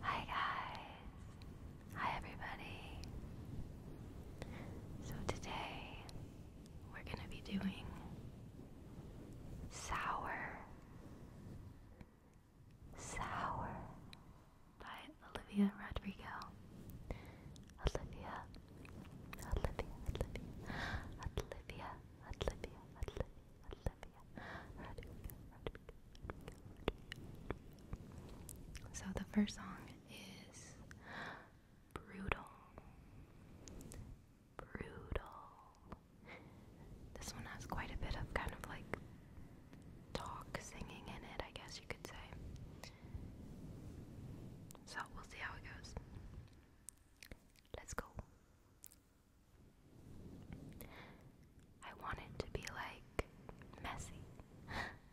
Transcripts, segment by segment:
Hi guys! Hi everybody! So today we're gonna be doing Sour Sour by Olivia Rodrigo. Olivia Olivia Olivia Olivia Olivia Olivia so the first song is Brutal. Brutal. This one has quite a bit of kind of like talk singing in it, I guess you could say. So we'll see how it goes. Let's go. I want it to be like messy. I'm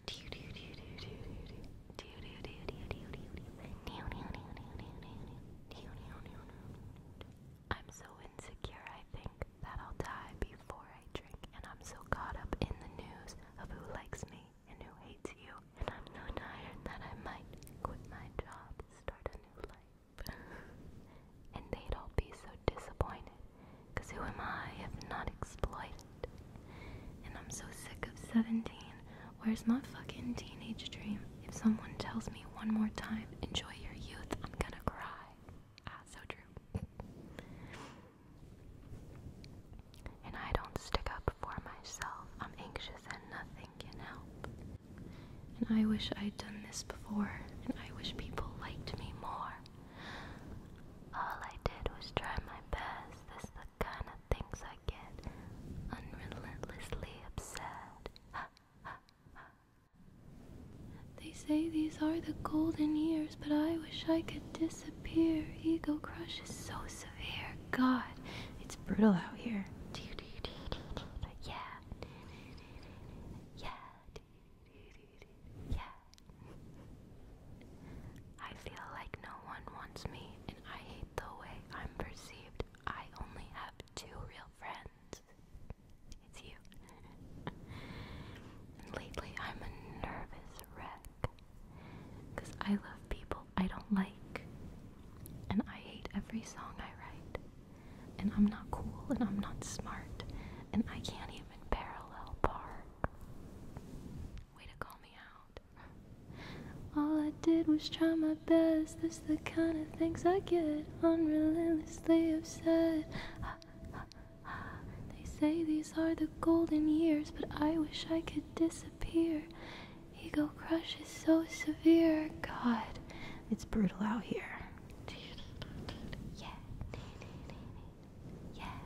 so insecure, I think, that I'll die before I drink, and I'm so caught up in the news of who likes me and who hates you, and I'm so tired that I might quit my job, start a new life and they'd all be so disappointed. who am I if not exploited? And I'm so sick of 17. Where's my fucking teenage dream? If someone tells me one more time, enjoy your youth, I'm gonna cry. Ah, so true. and I don't stick up for myself. I'm anxious and nothing can help. And I wish I'd done this before, and I wish people liked me more. All I did was try my best. This is the kind of things I get unrelentlessly upset. they say these are the golden years, but I wish I could disappear. Ego crush is so severe. God, it's brutal out here. Yeah. Yeah. Yeah. I feel like no one wants me, and I hate the way I'm perceived. I only have two real friends. It's you. and lately, I'm a nervous wreck. Because I love people I don't like, and I hate every song I write and I'm not cool, and I'm not smart, and I can't even parallel park. Way to call me out. All I did was try my best. That's the kind of things I get. Unrelentlessly upset. they say these are the golden years, but I wish I could disappear. Ego crush is so severe. God, it's brutal out here. Mm, yeah. Yeah.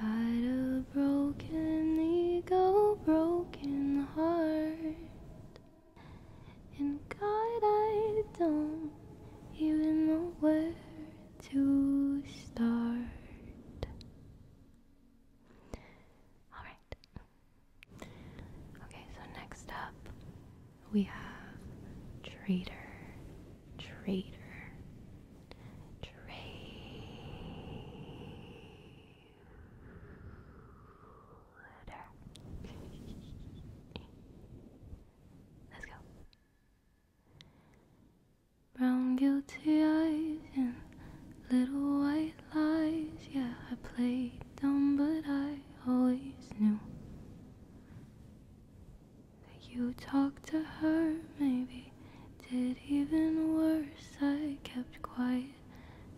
Got a broken ego, broken heart, and God, I don't even know where to start. All right. Okay, so next up we have traitor, traitor, traitor. Let's go. Brown guilty eyes and little white lies. Yeah, I played down, but I always knew that you talked to her, maybe did even worse. I kept quiet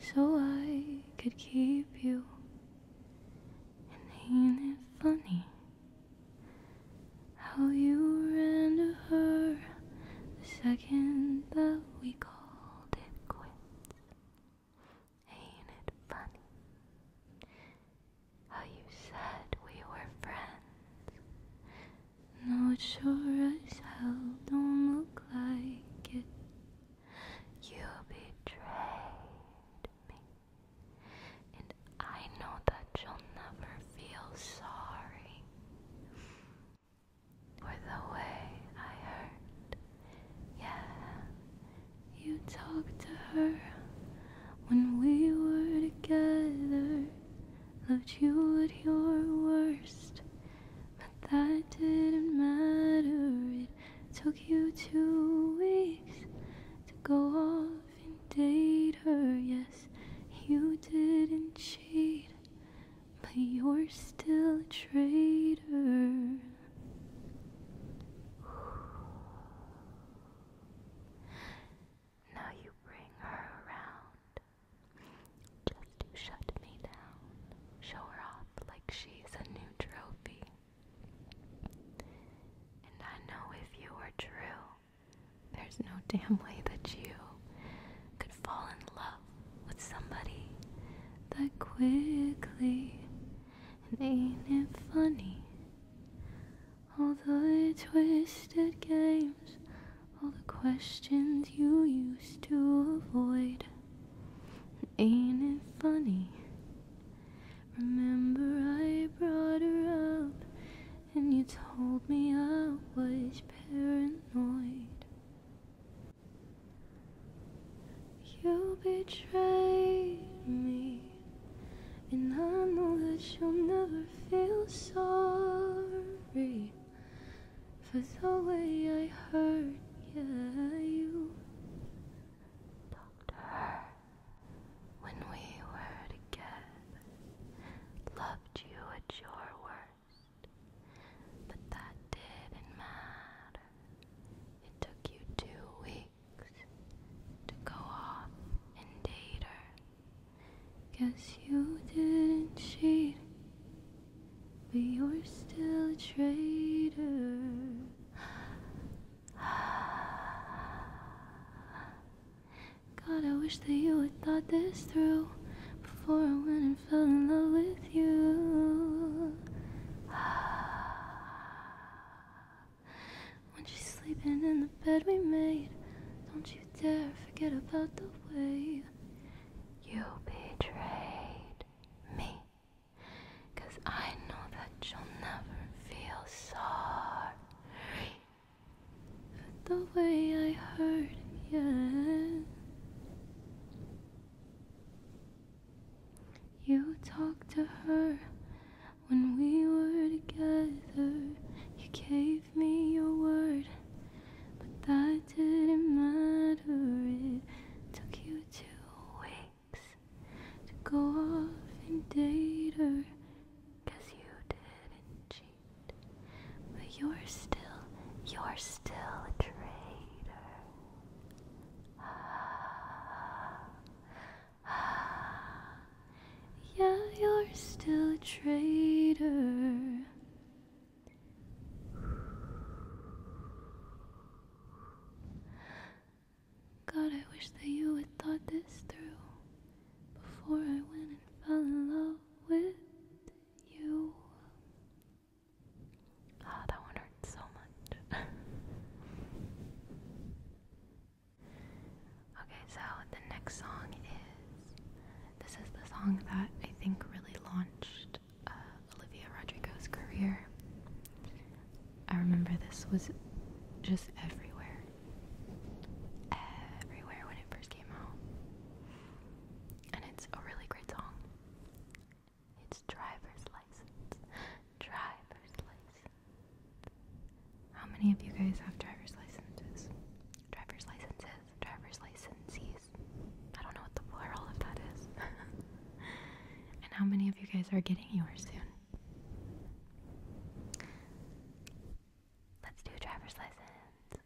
so I could keep you, and ain't it funny how you ran to her the second that we called it quits? Ain't it funny how you said we were friends? Not sure as hell don't look like it. You betrayed me, and I know that you'll never feel sorry for the way I hurt yeah, you talked to her when we were together. Loved you at your worst, but that didn't matter. It took you two weeks to go off and date her. Yes, you didn't cheat, but you're still a traitor. Now you bring her around. Just you shut me down. Show her off like she's a new trophy. And I know if you were true, there's no damn way that you could fall in love with somebody that quickly and ain't it funny? All the twisted games, all the questions you used to avoid. And ain't it funny? Remember, I brought her up, and you told me I was paranoid. You betrayed me, and I know that you'll never feel sorry for the way I hurt you. Doctor, when we were together, loved you at your worst, but that didn't matter. It took you two weeks to go off and date her. Guess you didn't cheat, but you're still a traitor. God, I wish that you had thought this through before I went and fell in love with you. When she's sleeping in the bed we made, don't you dare forget about the way you betrayed me. Cause I know that you'll never feel sorry for the way I hurt you. You talked to her when we were together. You gave me your word, but that didn't matter. It took you two weeks to go off and date her. Cause you didn't cheat, but you're still, you're still a traitor. Yeah, you're still a traitor. God, I wish that you had thought this through before I went and fell in love with you. Ah, that one hurt so much. okay, so the next song is this is the song that I think really launched uh, Olivia Rodrigo's career. I remember this was just everywhere. Everywhere when it first came out. And it's a really great song. It's driver's license. Driver's license. How many of you guys have driver's licenses? Driver's licenses. Driver's licensees. I don't know what the plural of that is. and how many of you guys are getting yours soon? Let's do driver's license.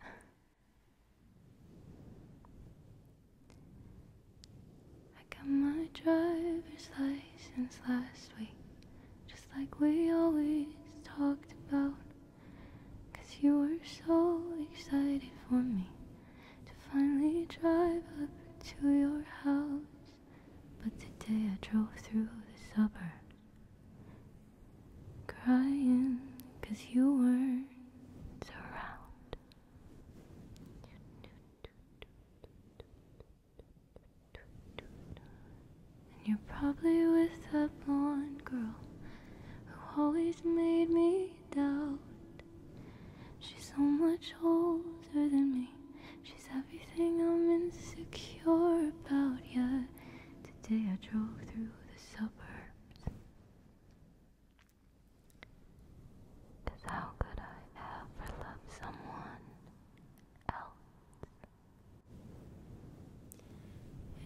I got my driver's license last week, just like we always talked about. Cause you were so excited for me to finally drive up to your house. But today I drove through the suburbs, crying cause you weren't around. And you're probably with that blonde girl who always made me doubt. She's so much older than me. She's everything I'm insecure about. Yeah, today I drove through the suburbs. Cause how could I ever love someone else?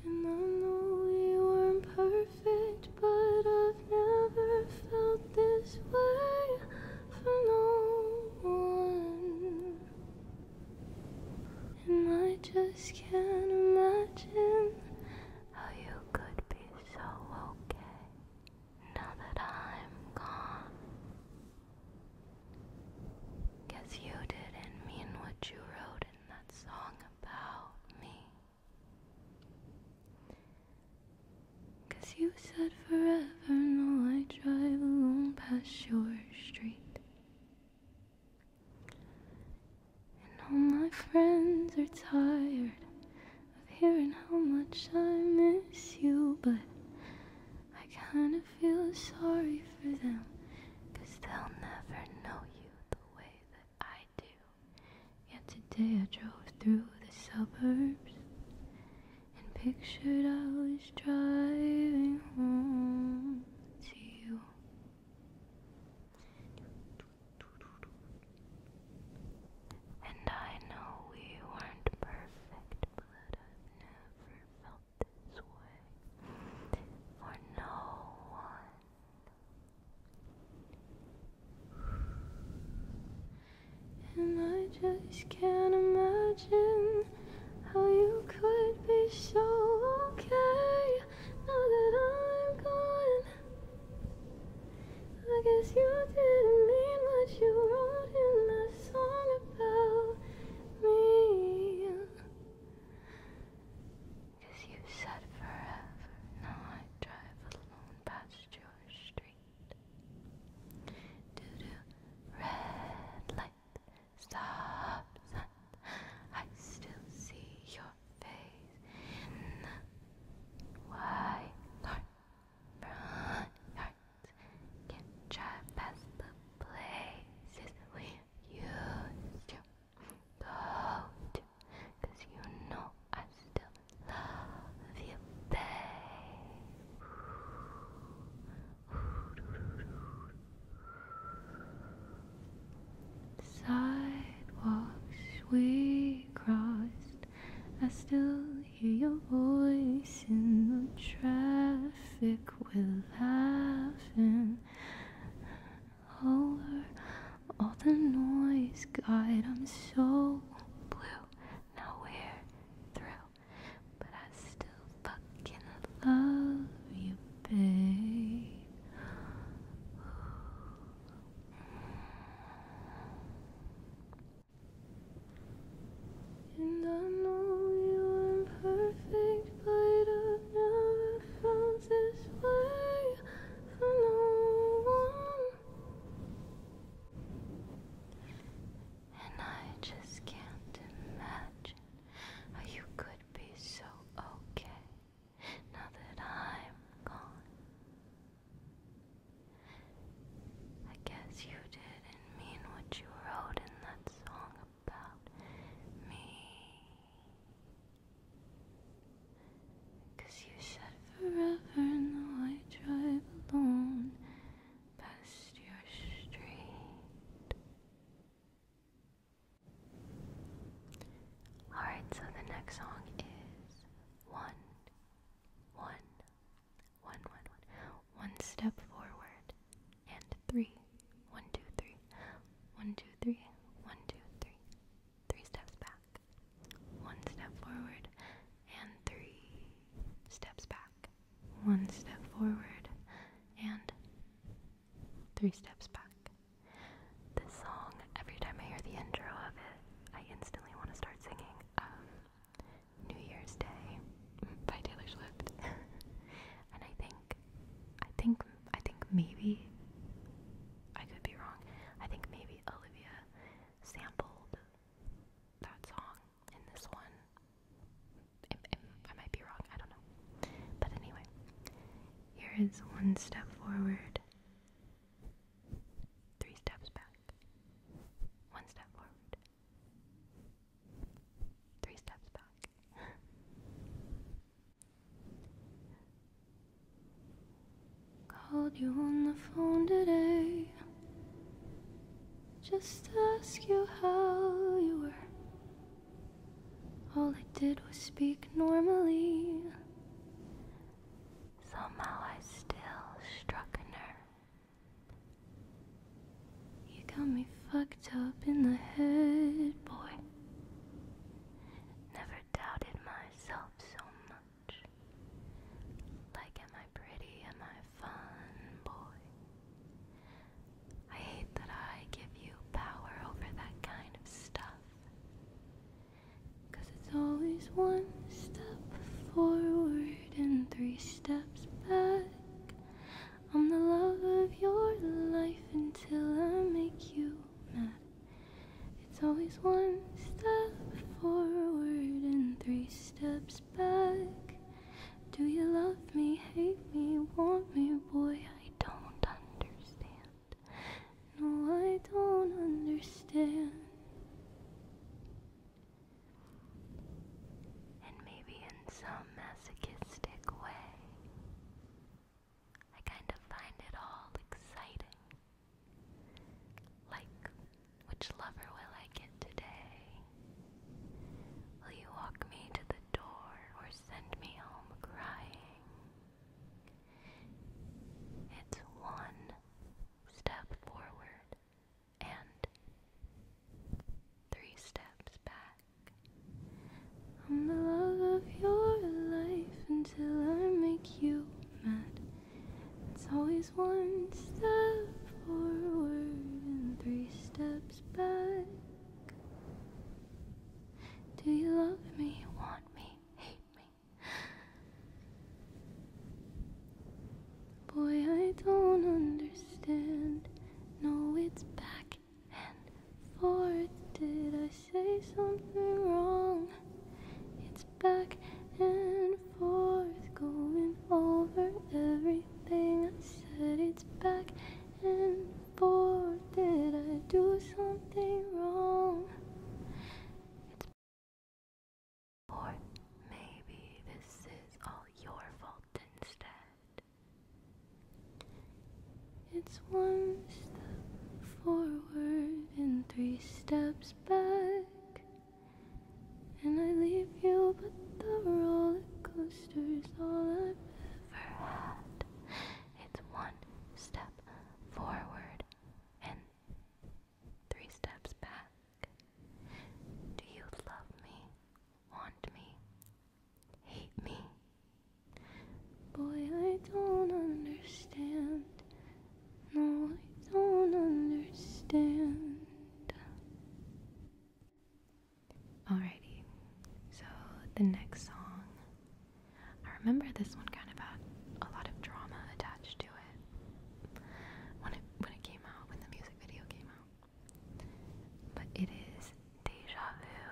And I know we weren't perfect, but I've never felt this way for no one. And I just can't imagine how you could be so okay now that I'm gone. Guess you didn't mean what you wrote in that song about me. Cause you said forever, and no, I drive alone past your street. And all my friends are tired of hearing how much I miss you, but I kinda feel sorry for them, cause they'll never know you the way that I do. Yet today I drove through the suburbs and pictured I was driving home to you. And I know we weren't perfect, but I've never felt this way for no one. And I just can't imagine how you could be so okay now that I'm gone. I guess you didn't mean what you wrote in the song about me. Cause you said forever, now I drive alone past your street. Doo doo, red light, stop sign. I still see your face in the wide Front can traverse the places we used to go to. you know I still love you, babe. Sidewalks we crossed, I still hear your voice in the traffic. We're laughing over all the noise. God, I'm so blue. Now we're through, but I still fucking love you, babe. And I know you're imperfect, but I've never felt this way for no one. And I just can't imagine how you could be so okay now that I'm gone. I guess you didn't mean what you wrote in that song about me. Cause you said forever now I drive alone past your street. Alright, so the next song is one, one, one, one, one, one step forward, and three, one, two, three, one, two, three, one, two, three, three steps back, one step forward, and three steps back, one step forward, and three steps back. This song, every time I hear the intro of it, I instantly want to start singing. Um, New Year's Day by Taylor Swift. and I think I think I think maybe I could be wrong. I think maybe Olivia sampled that song in this one. I might be wrong, I don't know. But anyway, here is one step forward. Three steps back. One step forward. Three steps back. Called you on the phone today. Just ask you how you were. All I did was speak normally. Somehow I still struck a nerve. You got me fucked up in the head, boy. Never doubted myself so much. Like, am I pretty? Am I fun, boy? I hate that I give you power over that kind of stuff. Cause it's always one step forward and three steps back. I'm the love of your life until I make you mad. It's always one step forward and three steps back. Do you love me, hate me, want me, boy? I don't understand. No, I don't understand. And maybe in some masochistic way, I kind of find it all exciting. Like, which lover will I get today? Will you walk me to the door or send me home crying? It's one step forward and three steps back. I'm the love of your life until I make you mad. It's always one step forward and three steps back. Do you love me, want me, hate me? Boy, I don't understand. No, it's back and forth. Did I say something wrong? It's back and forth, going over everything I said. It's back and forth. Did I do something wrong? Or maybe this is all your fault instead. It's one step forward and three steps back. And I leave you, but the roller coaster's all I've ever had. It's one step forward and Three steps back. Do you love me? Want me? Hate me? Boy, I don't understand. No, I don't understand. Alrighty, so the next song. I remember this one kind of had a lot of drama attached to it when it came out, when the music video came out. But it is Deja Vu.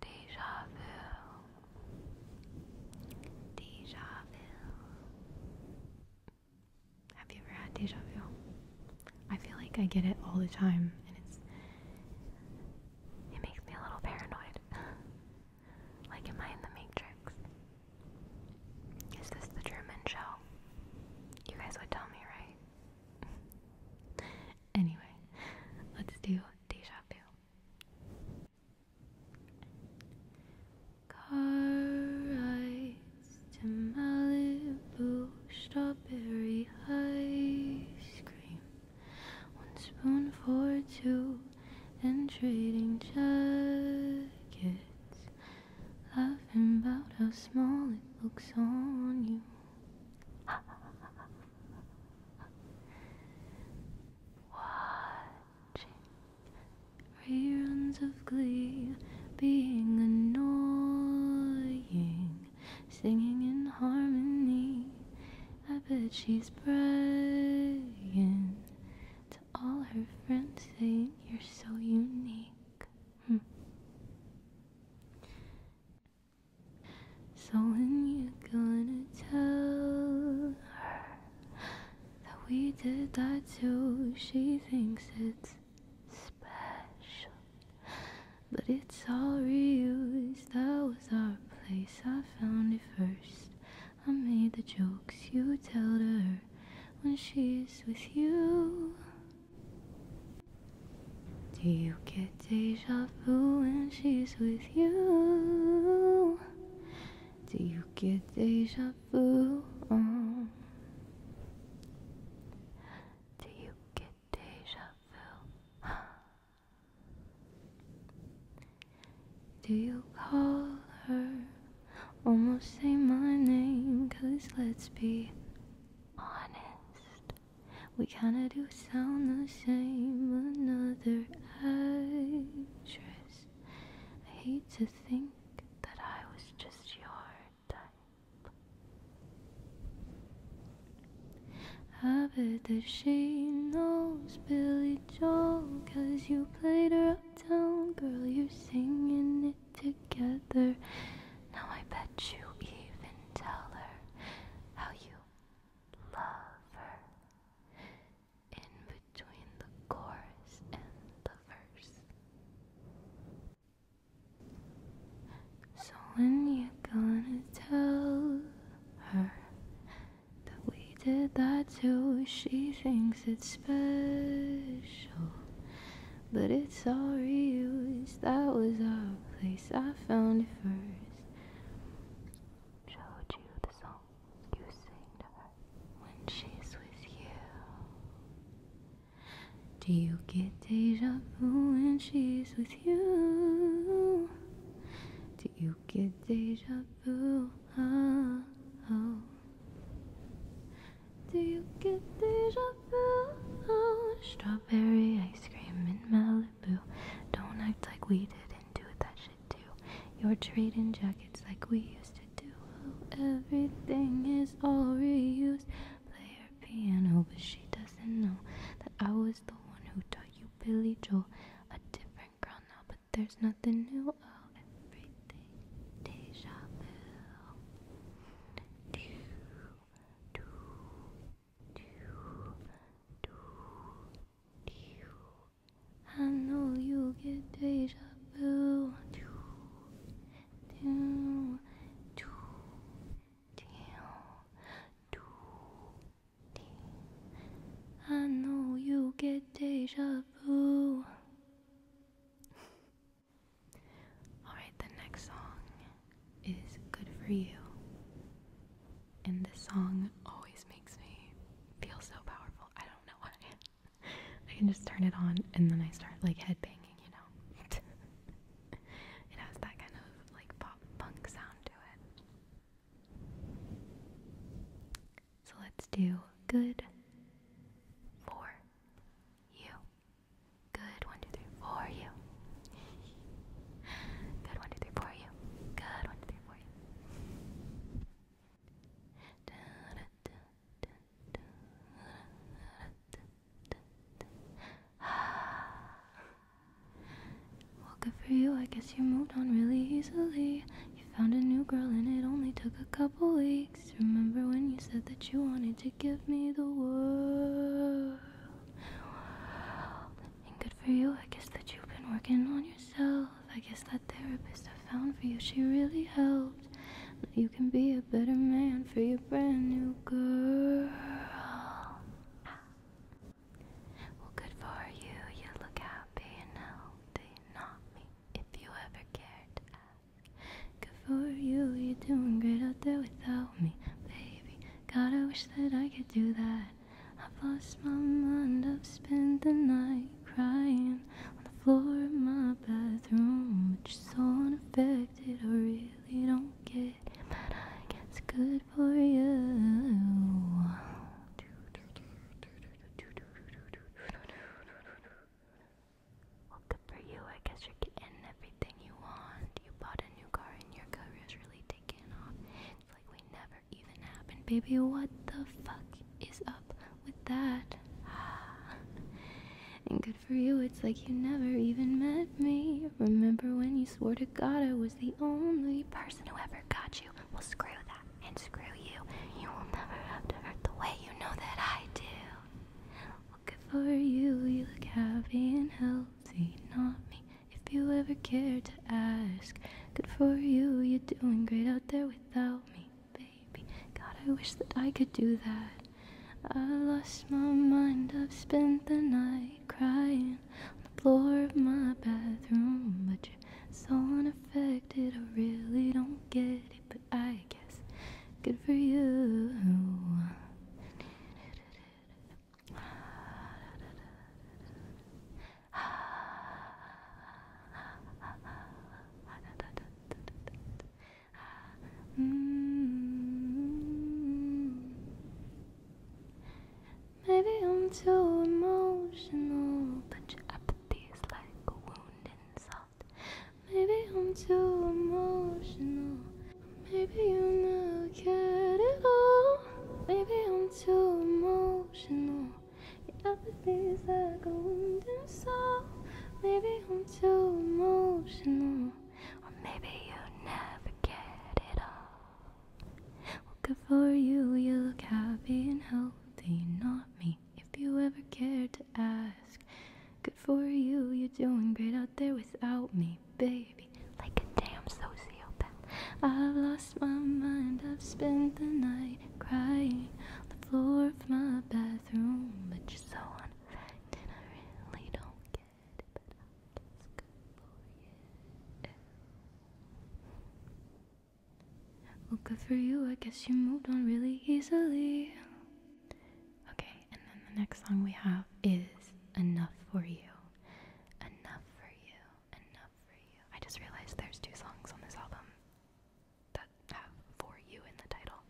Deja Vu. Deja Vu. Have you ever had deja vu? I feel like I get it all the time and it's it makes me a little paranoid. Like, am I in the Matrix? Is this the German show? You guys would tell me, right? anyway, let's do D deja vu. Car ice to Malibu, strawberry ice cream. One spoon for two, and trading jackets, laughing about how small it looks on you. Watching reruns of glee, being annoying, singing in harmony. I bet she's praying all her friends saying you're so unique. Hmm. So when you gonna tell her that we did that too, she thinks it's special. But it's all real. that was our place. I found it first. I made the jokes you told her when she's with you. Do you get deja vu when she's with you? Do you get deja vu? Um? Do you get deja vu? Do you call her? Almost say my name, cause let's be honest. We kinda do sound the same. Another actress. I hate to think that I was just your type. I bet that she knows Billy Joel, cause you played her down, girl, you're singing it together. Now I bet you even tell her how you love her. In between the chorus and the verse. So when you gonna tell her that we she did that too, she thinks it's special. But it's all reused, that was our place, I found it first. Showed you the song you sang to her when she's with you. Do you get deja vu when she's with you? Do you get deja vu? Oh, oh. Do you get deja vu? Oh, strawberry ice cream in Malibu. Don't act like we didn't do that shit too. You're trading jackets like we used to do. everything is all reused. Play her piano, but she doesn't know that I was the one who taught you Billy Joel. A different girl now, but there's nothing new. everything. Deja vu. I know you get deja vu. I know you get deja vu. Alright, the next song is Good For You. And this song always makes me feel so powerful. I don't know why. I can just turn it on and then I start like headbanging, you know? it has that kind of like pop punk sound to it. So let's do good for you. Good one, two, three, for you. Good one, two, three, for you. Good one, two, three, for you. Well, good for you. I guess you moved on really easily. I found a new girl and it only took a couple weeks. Remember when you said that you wanted to give me the world? And good for you, I guess that you've been working on yourself. I guess that therapist I found for you, she really helped. Now you can be a better man for your brand new girl. Well, good for you. You look happy and healthy, not me if you ever cared to Good for you, you're doing great out there without me, baby. God, I wish that I could do that. I've lost my mind, I've spent the night crying on the floor of my bathroom, which is so unaffected, I really don't get it. But I guess good for you. Well, good for you. I guess you're getting everything you want. You bought a new car and your career's really taking off. It's like we never even happened. Baby, what the fuck is up with that? and good for you. It's like you never even met me. Remember when you swore to God I was the only person who ever got you? Well, screw that and screw you. You will never have to hurt the way you know that I do. Looking for you, you look happy and healthy, not me. If you ever care to ask, good for you, you're doing great out there without me, baby. God, I wish that I could do that. I lost my mind, I've spent the night crying on the floor of my bathroom, but you're so unaffected, I really don't get it, I guess good for you. Mm. Maybe I'm too emotional, but your apathy is like a wound inside. Maybe I'm too emotional. Maybe you never cared at all. Maybe I'm too emotional. Your apathy is like a wound in soul. Maybe I'm too emotional. Or maybe you never get it all. Well, for you. You look happy and healthy, not me if you ever cared to ask. Good for you, you're doing great out there without me, baby. Like a damn sociopath. I've lost my mind, I've spent the night crying on the floor of my bathroom. But you're so unfact, and I really don't get it. But I guess good for you. Well, good for you. I guess you moved on really easily. Okay, and then the next song we have is Enough for You. Enough for You. Enough for You. I just realized there's two songs on this album that have For You in the title.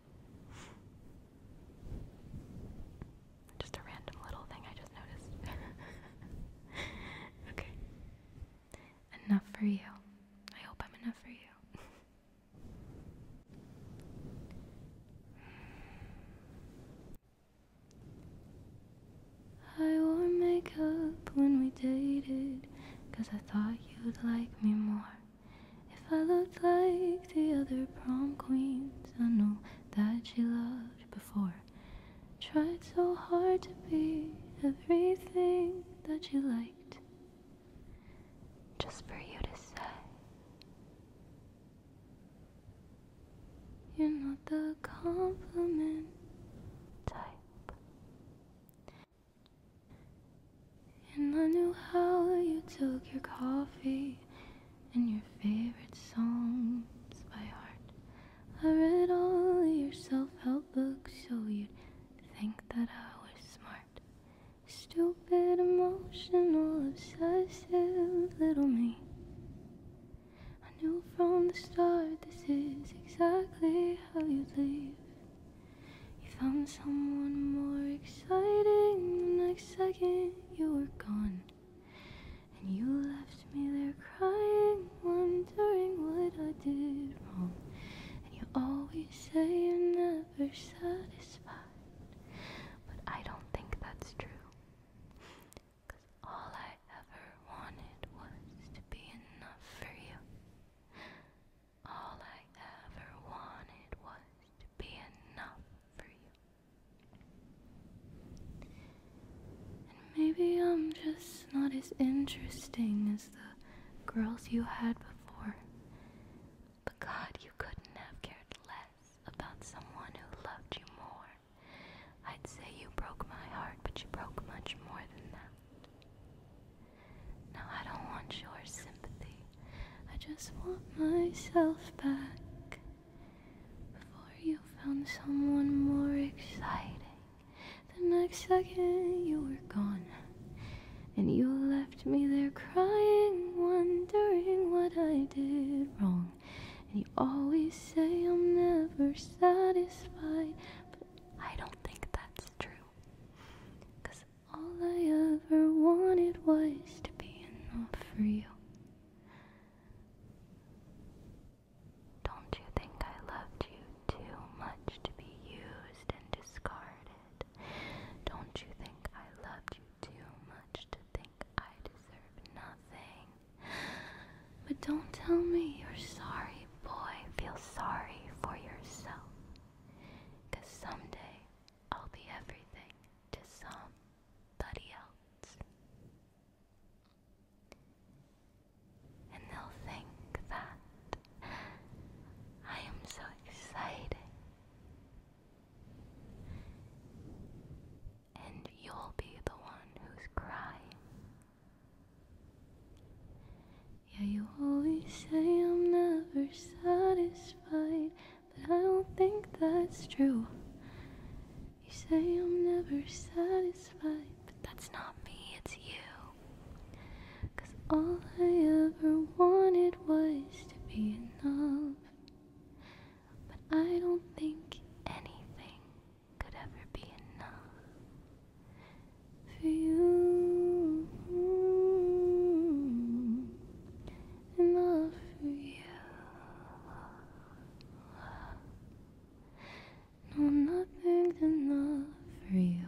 Just a random little thing I just noticed. okay. Enough for you. I hope I'm enough for you. I wore makeup when we dated, cause I thought you'd like me more. If I looked like the other prom queens, I know that you loved before. Tried so hard to be everything that you liked just for you to say. You're not the compliment type. And I knew how you took your coffee and your favorite songs by heart. I read all your self help books so you'd think that I was smart. Stupid, emotional, obsessive little me. I knew from the start this is exactly how you'd leave. You found someone more exciting the next second you were gone. And you left me there crying, wondering what I did wrong. And you always you say you're never satisfied, but I don't think that's true. Cause all I ever wanted was to be enough for you. All I ever wanted was to be enough for you. And maybe I'm just not as interesting as the girls you had before. But God, you couldn't have cared less about someone who loved you more. I'd say you broke my heart, but you broke much more than that. Now, I don't want your sympathy. I just want myself back. Before you found someone more exciting the next second you were gone, and you left me there crying, wondering what I did wrong. And you always say I'm never satisfied, but I don't think that's true. Cause all I ever wanted was to be enough for you. Don't you think I loved you too much to be used and discarded? Don't you think I loved you too much to think I deserve nothing? But don't tell me you're sorry, boy. Feel sorry for yourself. Cause someday I'll be everything to somebody else. And they'll think that I am so excited. And you'll be the one who's crying. Yeah, you always say I'm never satisfied, but I don't think that's true. You say I'm never satisfied, but that's not me, it's you. Cause all I ever wanted was to be enough. But I don't think anything could ever be enough for you. Enough for you. No, nothing's enough for you.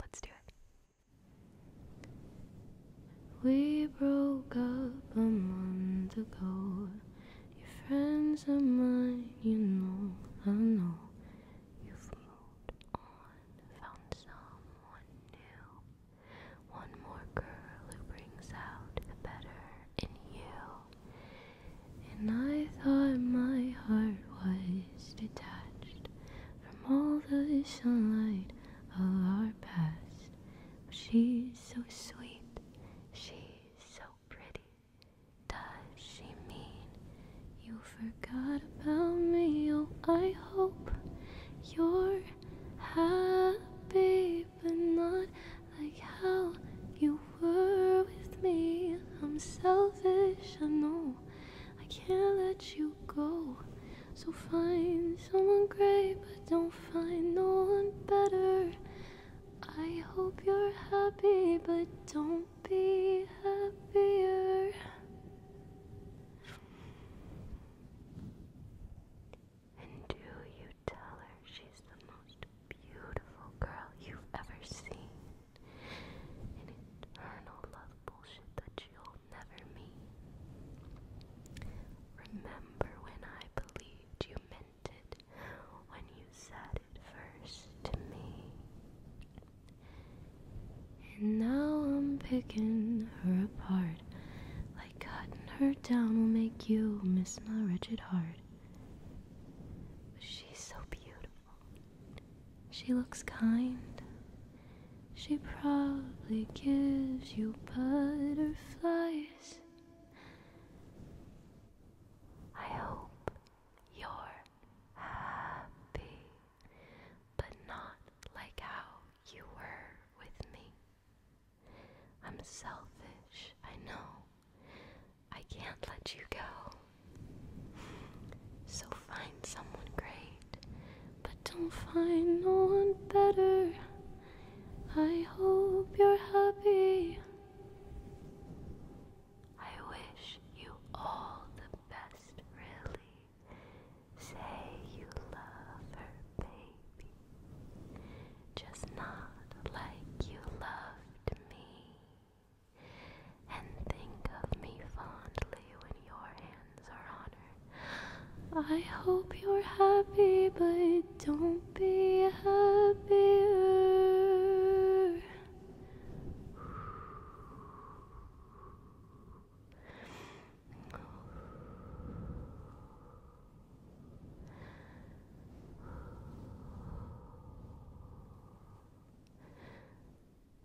Let's do it. We broke up a month ago. Your friends are mine, you know, I know. You've moved on, found someone new. One more girl who brings out the better in you. And I thought my heart was detached from all the sunlight of our past. But she's so sweet, she's so pretty. Does she mean you forgot about me. Oh, I hope you're happy, but not like how you were with me. I'm selfish, I know. I can't let you go. So find someone great, but don't find no one better. I hope you're happy, but don't be happier. And do you tell her she's the most beautiful girl you've ever seen? An eternal love bullshit that you'll never meet. Remember when I believed you meant it, when you said it first to me. And now I'm picking her apart. Like cutting her down will make you miss my wretched heart. But she's so beautiful. She looks kind. She probably gives you butterflies. I hope you're happy but not like how you were with me. I'm selfish, I know. I can't let you go. So find someone great, but don't find no one better. I hope you're happy. I wish you all the best, really. Say you love her, baby, just not like you loved me. And think of me fondly when your hands are on her. I hope you're happy, but don't be happier.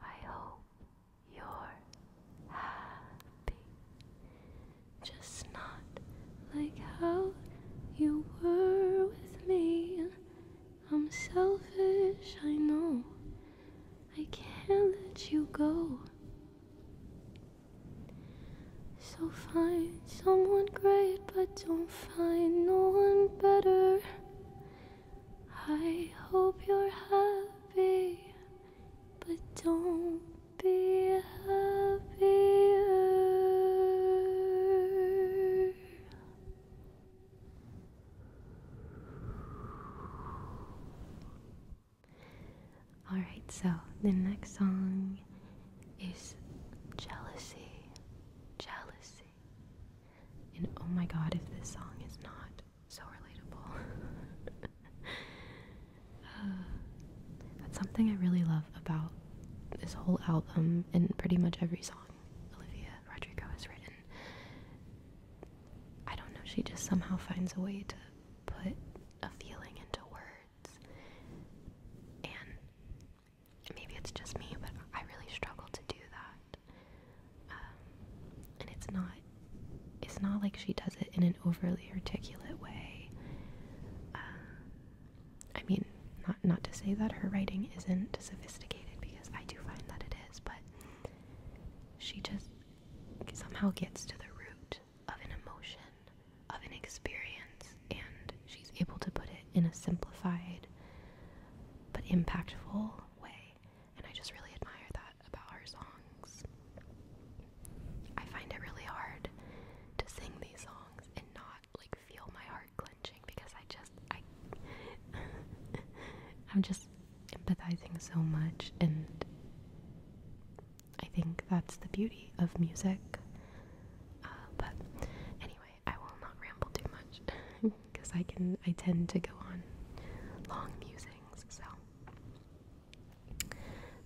I hope you're happy, just not like how you were with me. I'm selfish, I know. I can't let you go. So find someone great, but don't find no one better. I hope you're happy, but don't be happier. Alright, so the next song is Jealousy. Jealousy. And oh my god, if this song is not so relatable. Uh, that's something I really love about this whole album and pretty much every song Olivia Rodrigo has written. I don't know, she just somehow finds a way to put a feeling into words. And maybe it's just me, but I really struggle to do that. Um, and it's not it's not like she does it in an overly articulate way. Uh, I mean, not not to say that her writing isn't sophisticated because I do find that it is, but she just somehow gets to the root of an emotion, of an experience, and she's able to put it in a simplified but impactful way. And I just really admire that about her songs. I find it really hard to sing these songs and not like feel my heart clenching because I just I I'm just empathizing so much, and I think that's the beauty of music. Uh, but anyway, I will not ramble too much because I can. I tend to go on long musings. So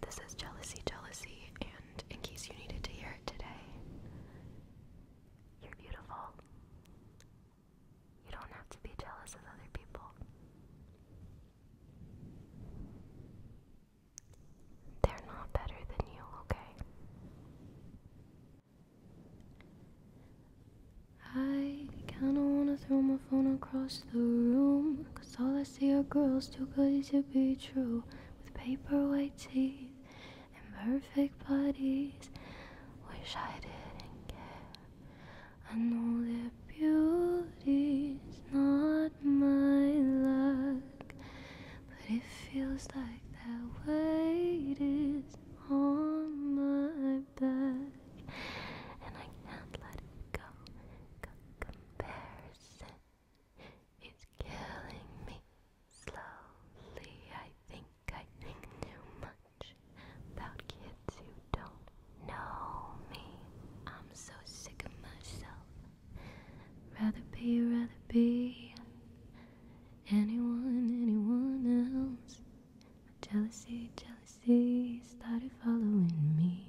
this is jealousy, jealousy, and in case you needed to hear it today, you're beautiful. You don't have to be jealous of other people. They're not better than you, okay? I kinda wanna throw my phone across the room. Cause all I see are girls too good to be true. With paper white teeth and perfect bodies. Wish I didn't care. I know that beauty's not my luck, but it feels like that weight is on my back, and I can't let it go. comparison is killing me slowly. I think I think too much about kids who don't know me. I'm so sick of myself. Rather be, rather be anyone, anyone else. Jealousy, jealousy started following me.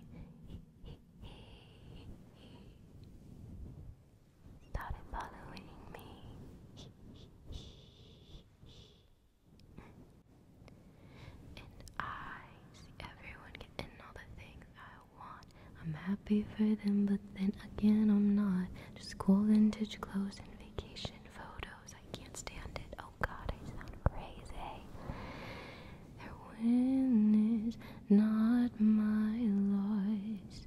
Started following me. And I see everyone getting all the things I want. I'm happy for them, but then again, I'm not. Just cool vintage clothes and vacation photos. I can't stand it. Oh god, I sound crazy. Their win is not my loss.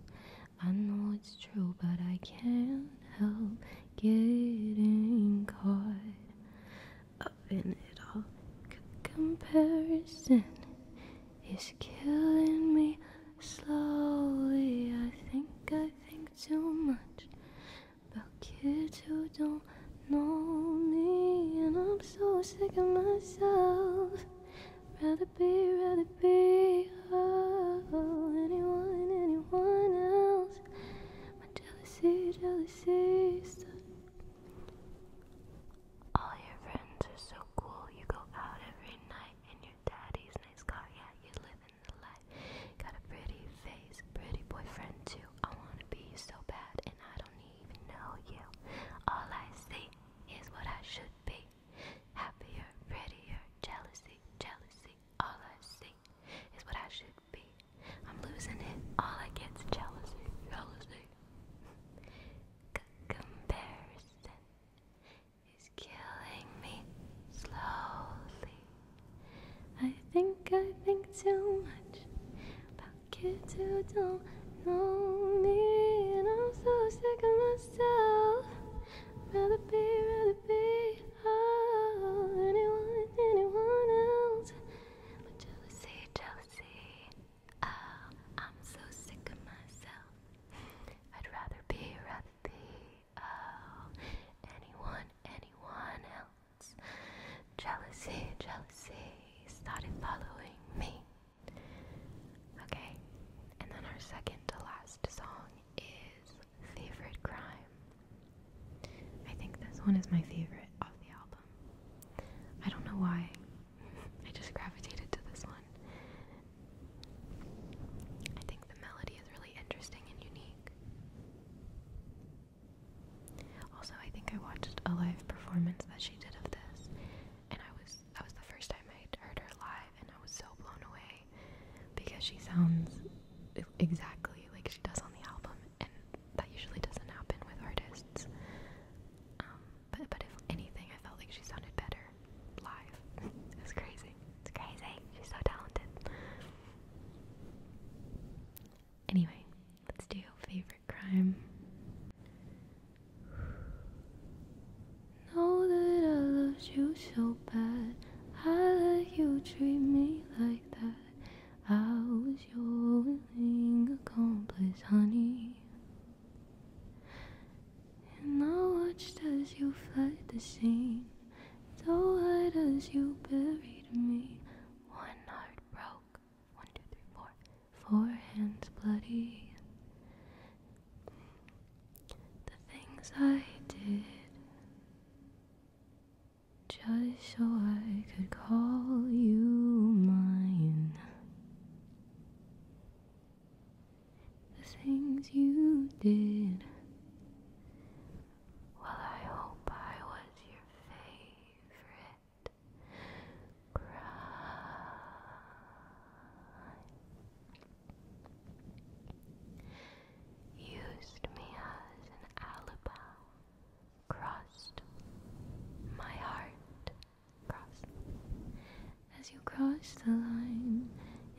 I know it's true, but I can't help getting caught up in it all. comparison is killing me slowly. I think I think too much about kids who don't know me, and I'm so sick of myself. Rather be, rather be oh, anyone, anyone else jealousy, jealousy. All your friends are so cool. You go out every night in your daddy's nice car. Yeah, you live in the light. Got a pretty face, pretty boyfriend too. I wanna be you so bad, and I don't even know you. All I see is what I should be. Happier, prettier, jealousy, jealousy. All I see is what I should I'm losing it. All I get's jealousy, jealousy. C comparison is killing me slowly. I think I think too much about kids who don't know me, and I'm so sick of myself. Rather be, rather be all oh, anyone, anyone else. Jealousy, jealousy. Oh, I'm so sick of myself. I'd rather be, rather be, oh, anyone, anyone else. Jealousy, jealousy started following me. Okay, and then our second to last song is Favorite Crime I think this one is my favorite of the album. I don't know why. I just gravitated to this one. I think the melody is really interesting and unique. Also, I think I watched a live performance that she did of this, and I was that was the first time i heard her live, and I was so blown away because she sounds exactly like she does on the album, and that usually doesn't happen with artists. Um, but but if anything, I felt like she sounded better live. it crazy. It's crazy. She's so talented. Anyway, let's do favorite crime. Know that I loved you so bad. I let you treat me like that. I was your willing accomplice, honey. And I watched as you fled the scene, so hard as you buried me. One heart broke, one, two, three, four, four hands bloody. The things I did just so I could call you mine. The things you did. Well, I hope I was your favorite Used me as an alibi crossed. My heart crossed. As you crossed the line,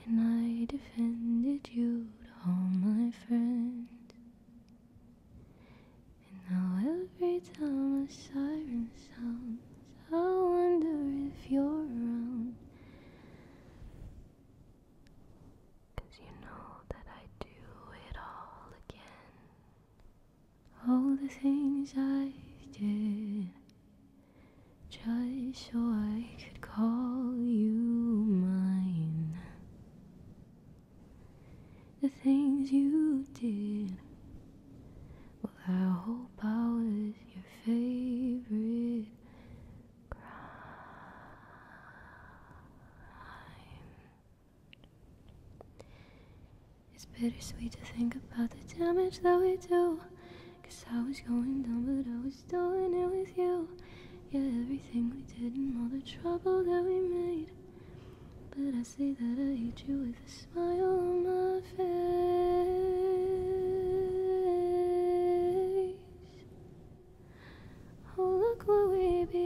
and I defended you to all my friends. And now every time a siren sounds, I wonder if you're around. Cause you know that I do it all again. All the things I did just so I could call you mine. The things you did. Well, I hope I was your favorite crime. It's bittersweet to think about the damage that we do. Cause I was going down, but I was doing it with you. Yeah, everything we did and all the trouble that we made. But I say that I hate you with a smile on my face. Oh, look what we became.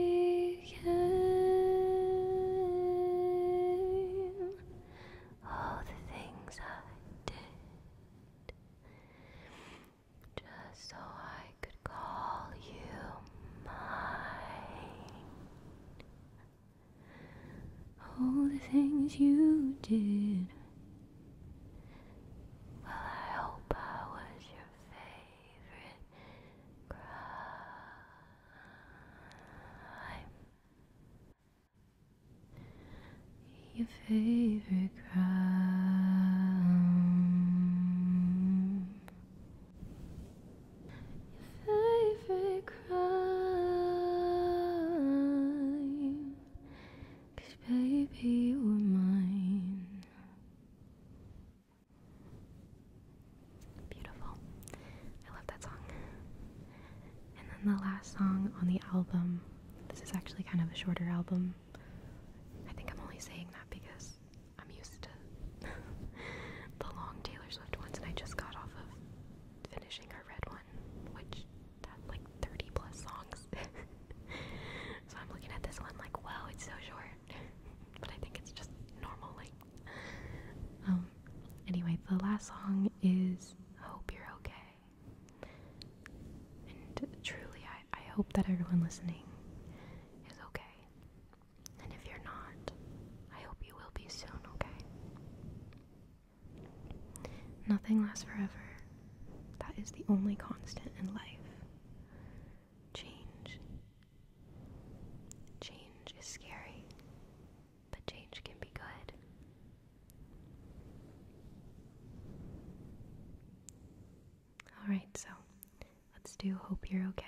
All the things I did just so I could call you mine. All the things you did. Well, I hope I was your fate favorite crime. Your favorite crime. Your favorite crime. baby, you were mine. Beautiful. I love that song. And then the last song on the album, this is actually kind of a shorter album. I think I'm only saying that because I'm used to the long Taylor Swift ones, and I just got off of finishing her red one, which had like 30 plus songs. so I'm looking at this one like, wow, it's so short but I think it's just normal like um, anyway the last song is Hope You're Okay and truly I, I hope that everyone listening is okay and if you're not I hope you will be soon okay nothing lasts forever that is the only constant in life Change. Change is scary, but change can be good. Alright, so let's do Hope You're Okay.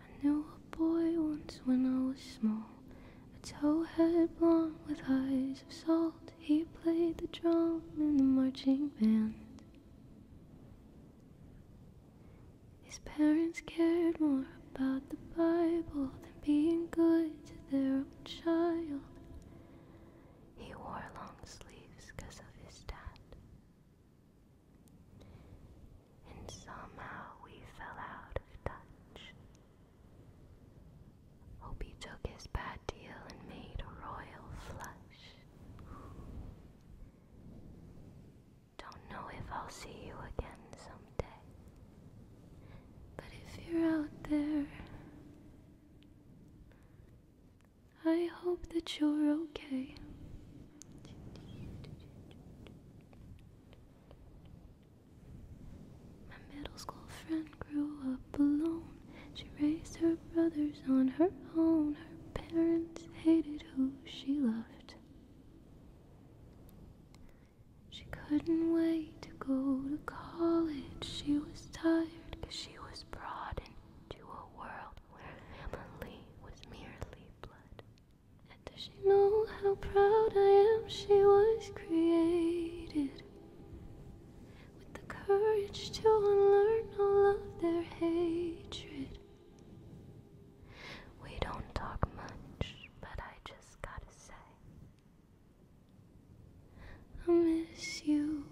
I knew a boy once when I was small, a tall head, blonde with eyes of salt, he played the drum in the marching band. His parents cared more about the Bible than being good to their own child. He wore long sleeves because of his dad. And somehow we fell out of touch. Opie took his bad deal and made a royal flush. Don't know if I'll see you again someday. But if you're out there, I hope that you're okay. My middle school friend grew up alone. She raised her brothers on her own. Her parents hated who she loved. She couldn't wait to go to college. She was tired because she was brought into a world where family was merely blood. And does she know how proud I am? She was created with the courage to unlearn all of their hatred. We don't talk much, but I just gotta say, I miss you.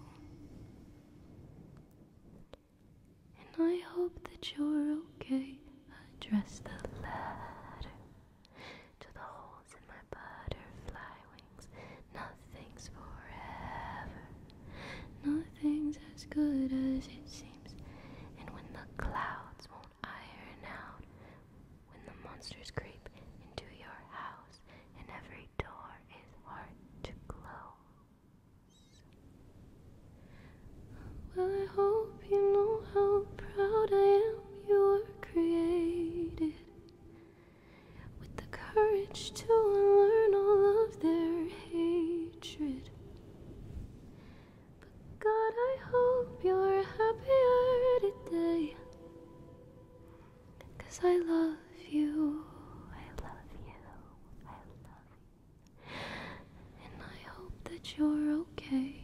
And I hope that you're okay. Address the letter to the whole holes in my butterfly wings. Nothing's forever. Nothing's as good as it seems. And when the clouds won't iron out, when the monsters creep into your house, and every door is hard to close. Well, I hope you know how proud I am you are created with the courage to unlearn all of their hatred. But God, I hope you're happier today. Cause I love you, I love you, I love you. And I hope that you're okay.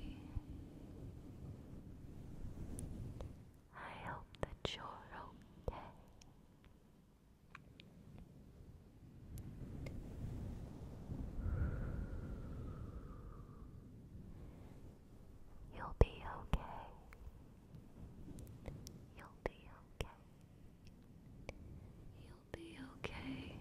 I hope that you're okay. You'll be okay. You'll be okay. You'll be okay.